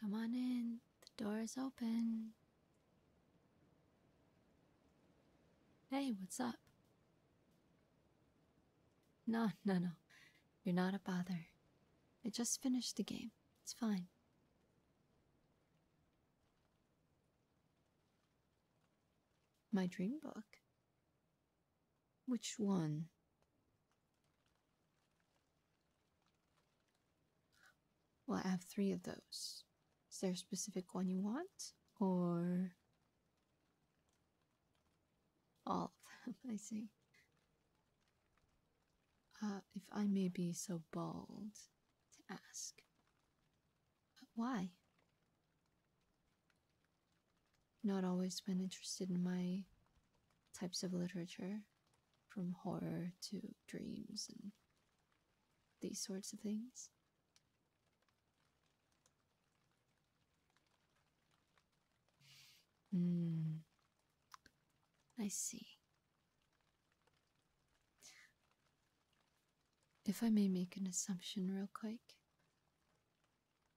Come on in, the door is open. Hey, what's up? No, no, no. You're not a bother. I just finished the game. It's fine. My dream book? Which one? Well, I have three of those. Is there a specific one you want? Or. All of them, I see. Uh, if I may be so bold to ask. Uh, why? not always been interested in my types of literature, from horror to dreams and these sorts of things. Hmm. I see. If I may make an assumption real quick,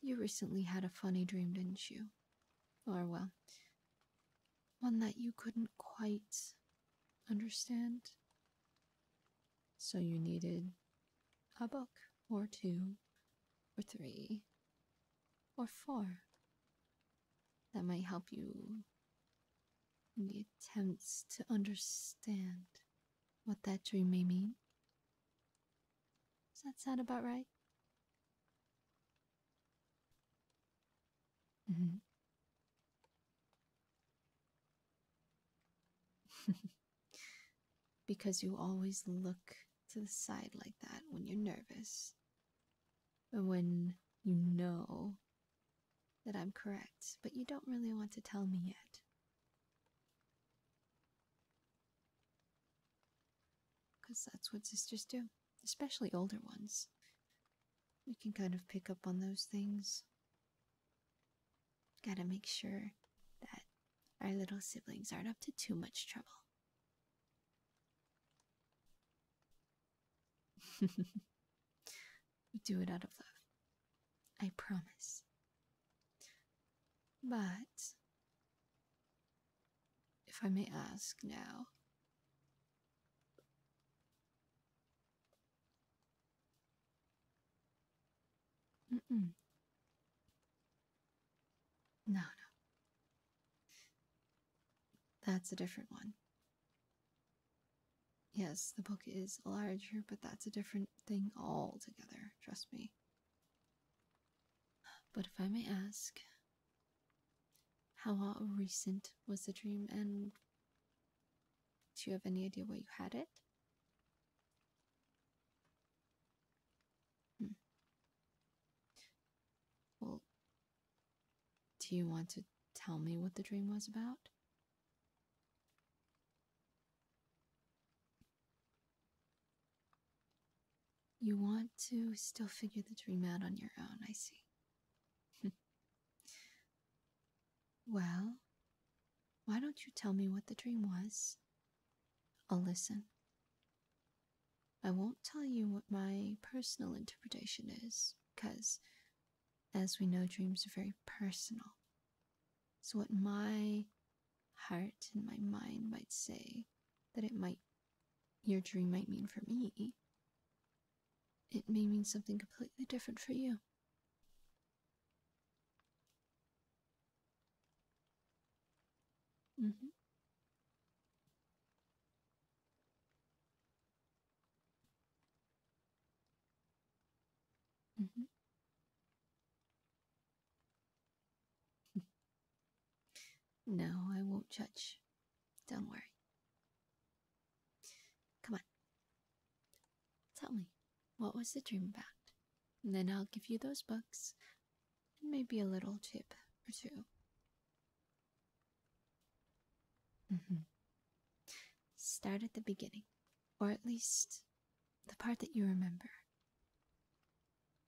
you recently had a funny dream, didn't you? Or, well, one that you couldn't quite understand. So you needed a book, or two, or three, or four that might help you in the attempts to understand what that dream may mean. Does that sound about right? Mm-hmm. because you always look to the side like that when you're nervous. When you know that I'm correct, but you don't really want to tell me yet. Because that's what sisters do, especially older ones. We can kind of pick up on those things. Gotta make sure that our little siblings aren't up to too much trouble. we do it out of love. I promise. But, if I may ask now, No, no. That's a different one. Yes, the book is larger, but that's a different thing altogether, trust me. But if I may ask, how recent was the dream and do you have any idea why you had it? Hmm. Well, do you want to tell me what the dream was about? You want to still figure the dream out on your own, I see. well, why don't you tell me what the dream was? I'll listen. I won't tell you what my personal interpretation is, because, as we know, dreams are very personal. So, what my heart and my mind might say that it might your dream might mean for me, it may mean something completely different for you. Mm-hmm. Mm-hmm no, I won't judge. Don't worry. Come on. Tell me, what was the dream about? And then I'll give you those books and maybe a little tip or two. Mm-hmm. Start at the beginning, or at least the part that you remember.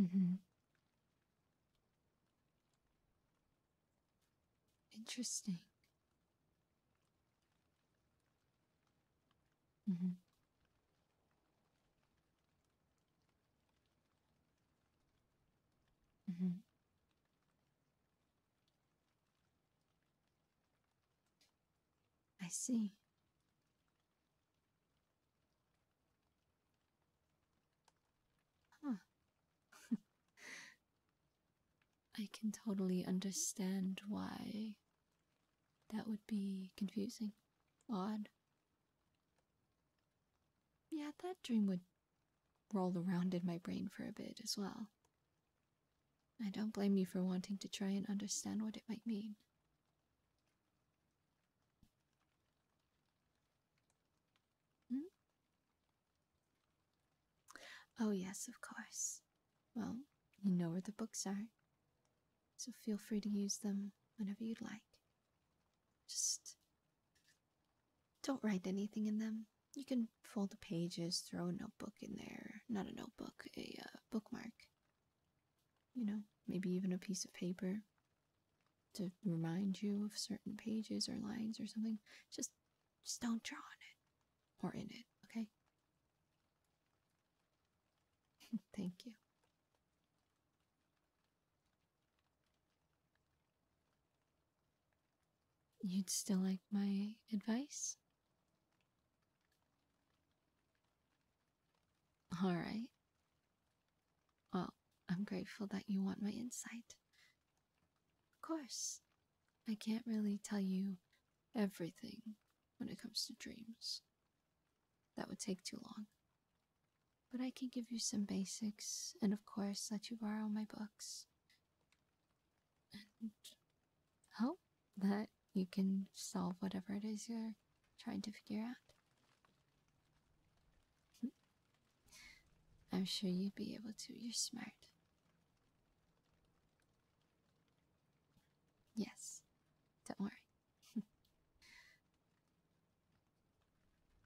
Mm-hmm. Interesting. Mm-hmm. Mm-hmm. I see. Huh. I can totally understand why that would be confusing. Odd. Yeah, that dream would roll around in my brain for a bit as well. I don't blame you for wanting to try and understand what it might mean. Hmm? Oh, yes, of course. Well, you know where the books are, so feel free to use them whenever you'd like. Just don't write anything in them. You can fold the pages, throw a notebook in there. Not a notebook, a uh, bookmark. You know, maybe even a piece of paper to remind you of certain pages or lines or something, just just don't draw on it or in it, okay? Thank you. You'd still like my advice? All right. Well, I'm grateful that you want my insight. Of course, I can't really tell you everything when it comes to dreams. That would take too long. But I can give you some basics, and of course, let you borrow my books. And hope that you can solve whatever it is you're trying to figure out. I'm sure you'd be able to. You're smart. Yes, don't worry.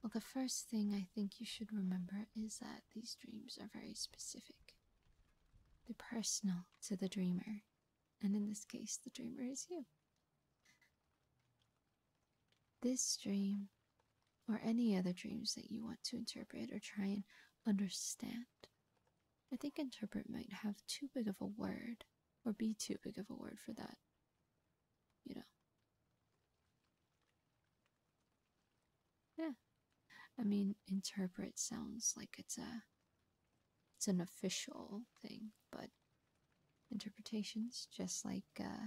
well, the first thing I think you should remember is that these dreams are very specific, they're personal to the dreamer, and in this case, the dreamer is you. This dream, or any other dreams that you want to interpret or try and understand, I think interpret might have too big of a word, or be too big of a word for that. You know. Yeah. I mean, interpret sounds like it's a it's an official thing, but interpretations just like uh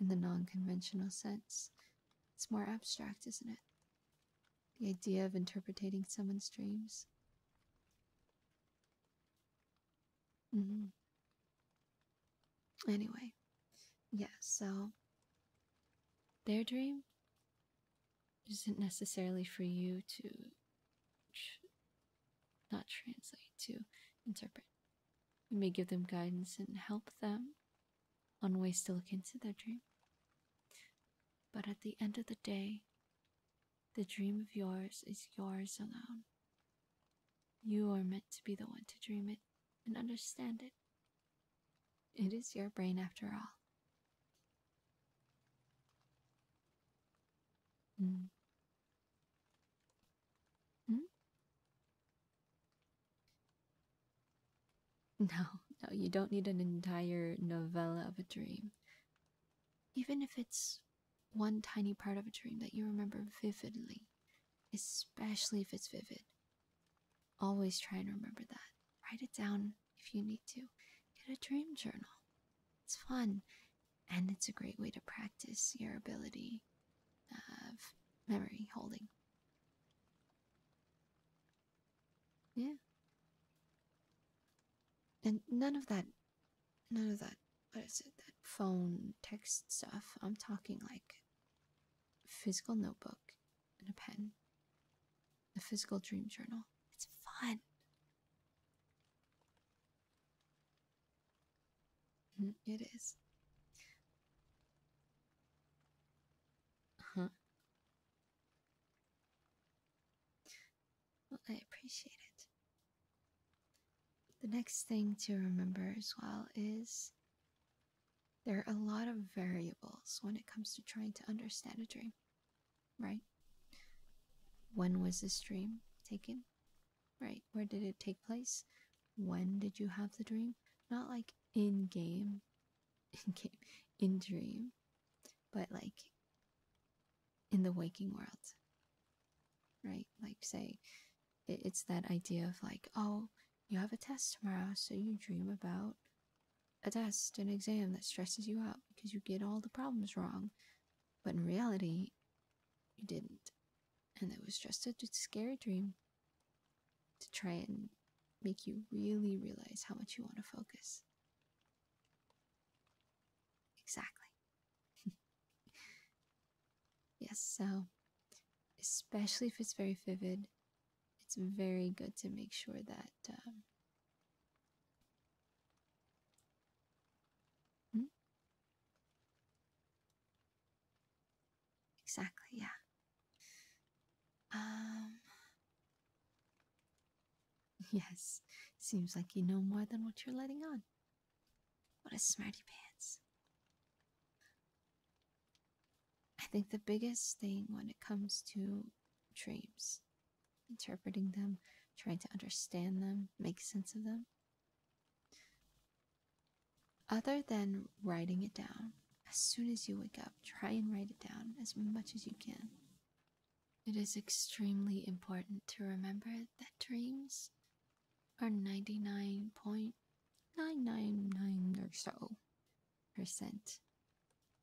in the non conventional sense. It's more abstract, isn't it? The idea of interpreting someone's dreams. Mm -hmm. Anyway, yeah, so their dream isn't necessarily for you to not translate, to interpret. You may give them guidance and help them on ways to look into their dream. But at the end of the day, the dream of yours is yours alone. You are meant to be the one to dream it and understand it. It is your brain after all. Mm. Hmm? No, no, you don't need an entire novella of a dream. Even if it's one tiny part of a dream that you remember vividly, especially if it's vivid, always try and remember that. Write it down if you need to. Get a dream journal. It's fun and it's a great way to practice your ability of memory holding. Yeah. And none of that, none of that, what is it, that phone text stuff. I'm talking like physical notebook and a pen, a physical dream journal. It's fun. Mm, it is. Huh? I appreciate it. The next thing to remember as well is there are a lot of variables when it comes to trying to understand a dream, right? When was this dream taken? Right. Where did it take place? When did you have the dream? Not like in game, in game, in dream, but like in the waking world. Right? Like, say, it's that idea of like, oh, you have a test tomorrow, so you dream about a test, an exam that stresses you out because you get all the problems wrong. But in reality, you didn't and it was just a scary dream to try and make you really realize how much you want to focus. Exactly. yes, so especially if it's very vivid, it's very good to make sure that. Um, hmm? Exactly, yeah. Um. Yes, seems like you know more than what you're letting on. What a smarty pants. I think the biggest thing when it comes to dreams, interpreting them, trying to understand them, make sense of them, other than writing it down, as soon as you wake up, try and write it down as much as you can. It is extremely important to remember that dreams are 99.999 or so percent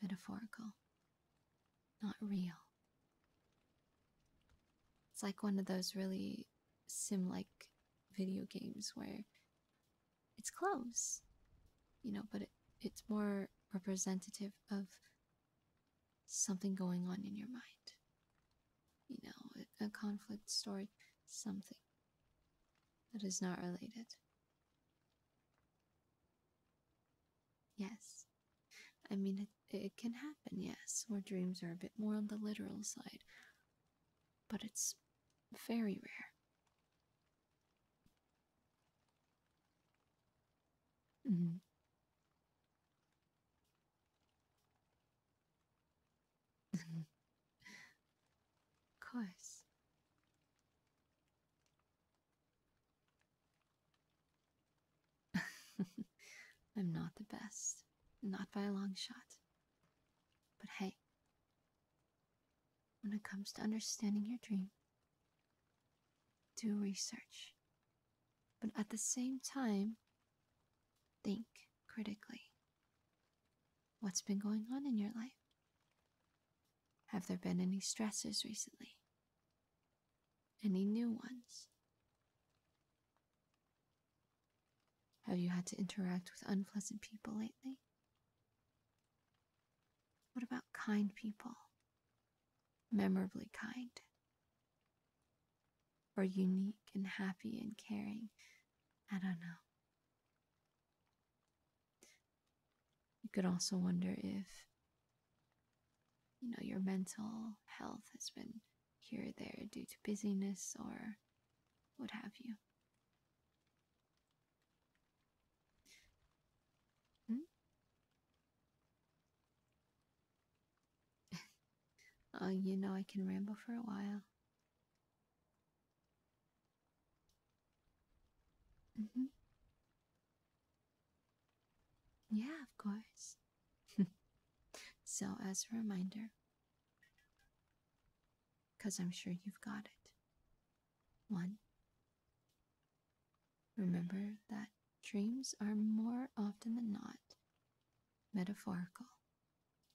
metaphorical, not real. It's like one of those really sim like video games where it's close, you know, but it's more representative of something going on in your mind. You know, a, conflict story, something that is not related. Yes. I mean, it can happen, yes, where dreams are a bit more on the literal side, but it's very rare. Mm-hmm. of course. I'm not the best, not by a long shot. But hey, when it comes to understanding your dream, do research. But at the same time, think critically. What's been going on in your life? Have there been any stressors recently? Any new ones? Have you had to interact with unpleasant people lately? What about kind people? Memorably kind? Or unique and happy and caring? I don't know. You could also wonder if, you know, your mental health has been here there due to busyness or what have you. Hmm? oh, you know I can ramble for a while. hmm. Yeah, of course. so, as a reminder, because I'm sure you've got it. One, remember that dreams are more often than not metaphorical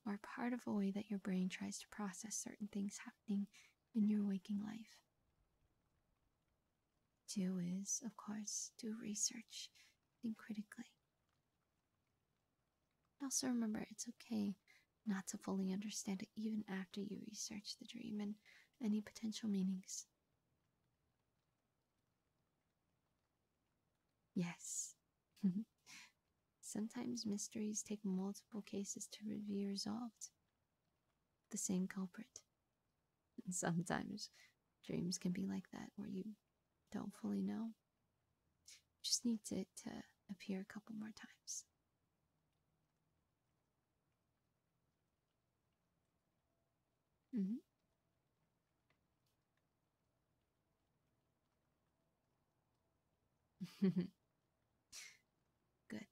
or part of a way that your brain tries to process certain things happening in your waking life. Two is, of course, do research, think critically, also, remember it's okay not to fully understand it even after you research the dream and any potential meanings. Yes. Sometimes mysteries take multiple cases to be resolved. The same culprit. And sometimes dreams can be like that, where you don't fully know just needs it to appear a couple more times. Mm-hmm. Good.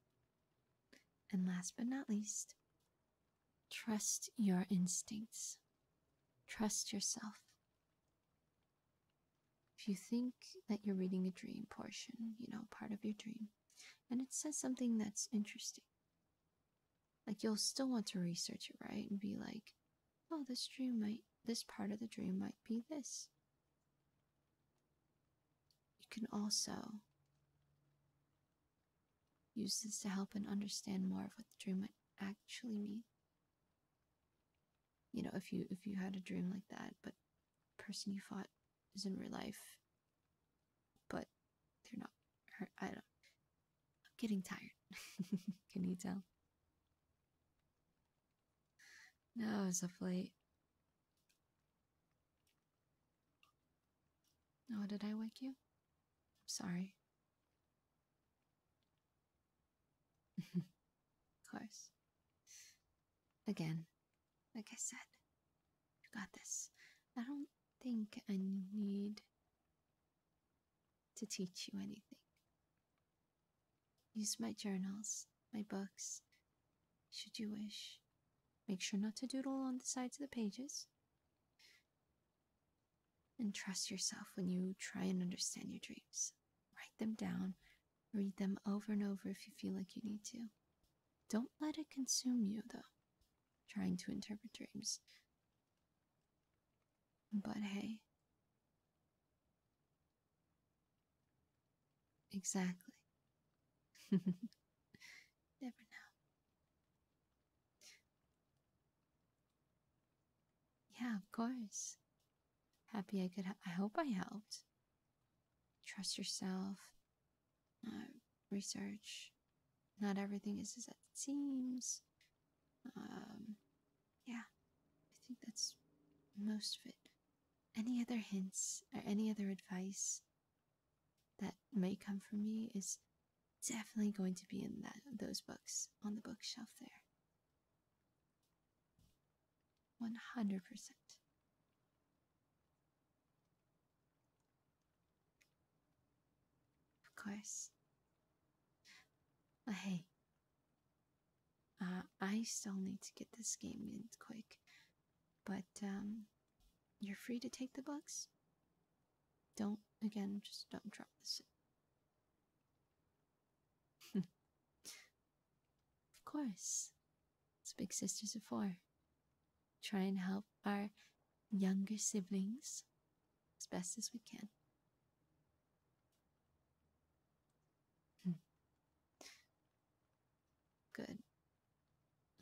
And last but not least, trust your instincts. Trust yourself. If you think that you're reading a dream portion, you know, part of your dream, and it says something that's interesting, like you'll still want to research it, right? And be like, oh, this dream might, this part of the dream might be this. You can also use this to help and understand more of what the dream might actually mean you know if you if you had a dream like that but person you fought is in real life but they're not i don't i'm getting tired can you tell no it's up late oh did i wake you i'm sorry of course. Again, like I said, you got this. I don't think I need to teach you anything. Use my journals, my books, should you wish. Make sure not to doodle on the sides of the pages. And trust yourself when you try and understand your dreams. Write them down, Read them over and over if you feel like you need to. Don't let it consume you, though, trying to interpret dreams. But hey. Exactly. Never know. Yeah, of course. Happy I could. I hope I helped. Trust yourself. research. Not everything is as it seems. Um, yeah, I think that's most of it. Any other hints or any other advice that may come from me is definitely going to be in that those books on the bookshelf there. 100%. Of course. But hey, uh, I still need to get this game in quick. But um, you're free to take the bugs. Don't, again, just don't drop this. Of course. It's big sisters of four. Try and help our younger siblings as best as we can. Hmm. Good.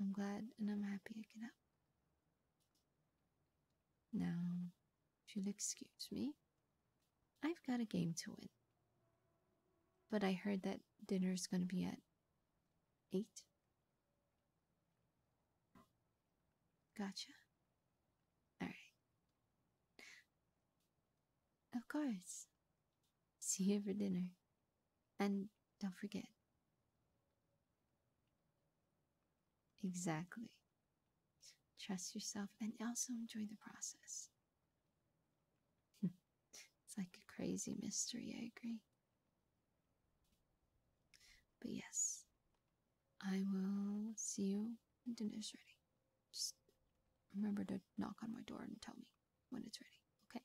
I'm glad and I'm happy I can help. Now, if you'll excuse me, I've got a game to win. But I heard that dinner's gonna be at eight. Gotcha. Alright. Of course. See you for dinner. And don't forget. Exactly. Trust yourself and also enjoy the process it's like a crazy mystery, I agree. But yes, I will see you when dinner's ready. Just remember to knock on my door and tell me when it's ready, okay?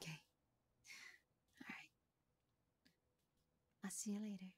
Okay. Alright. I'll see you later.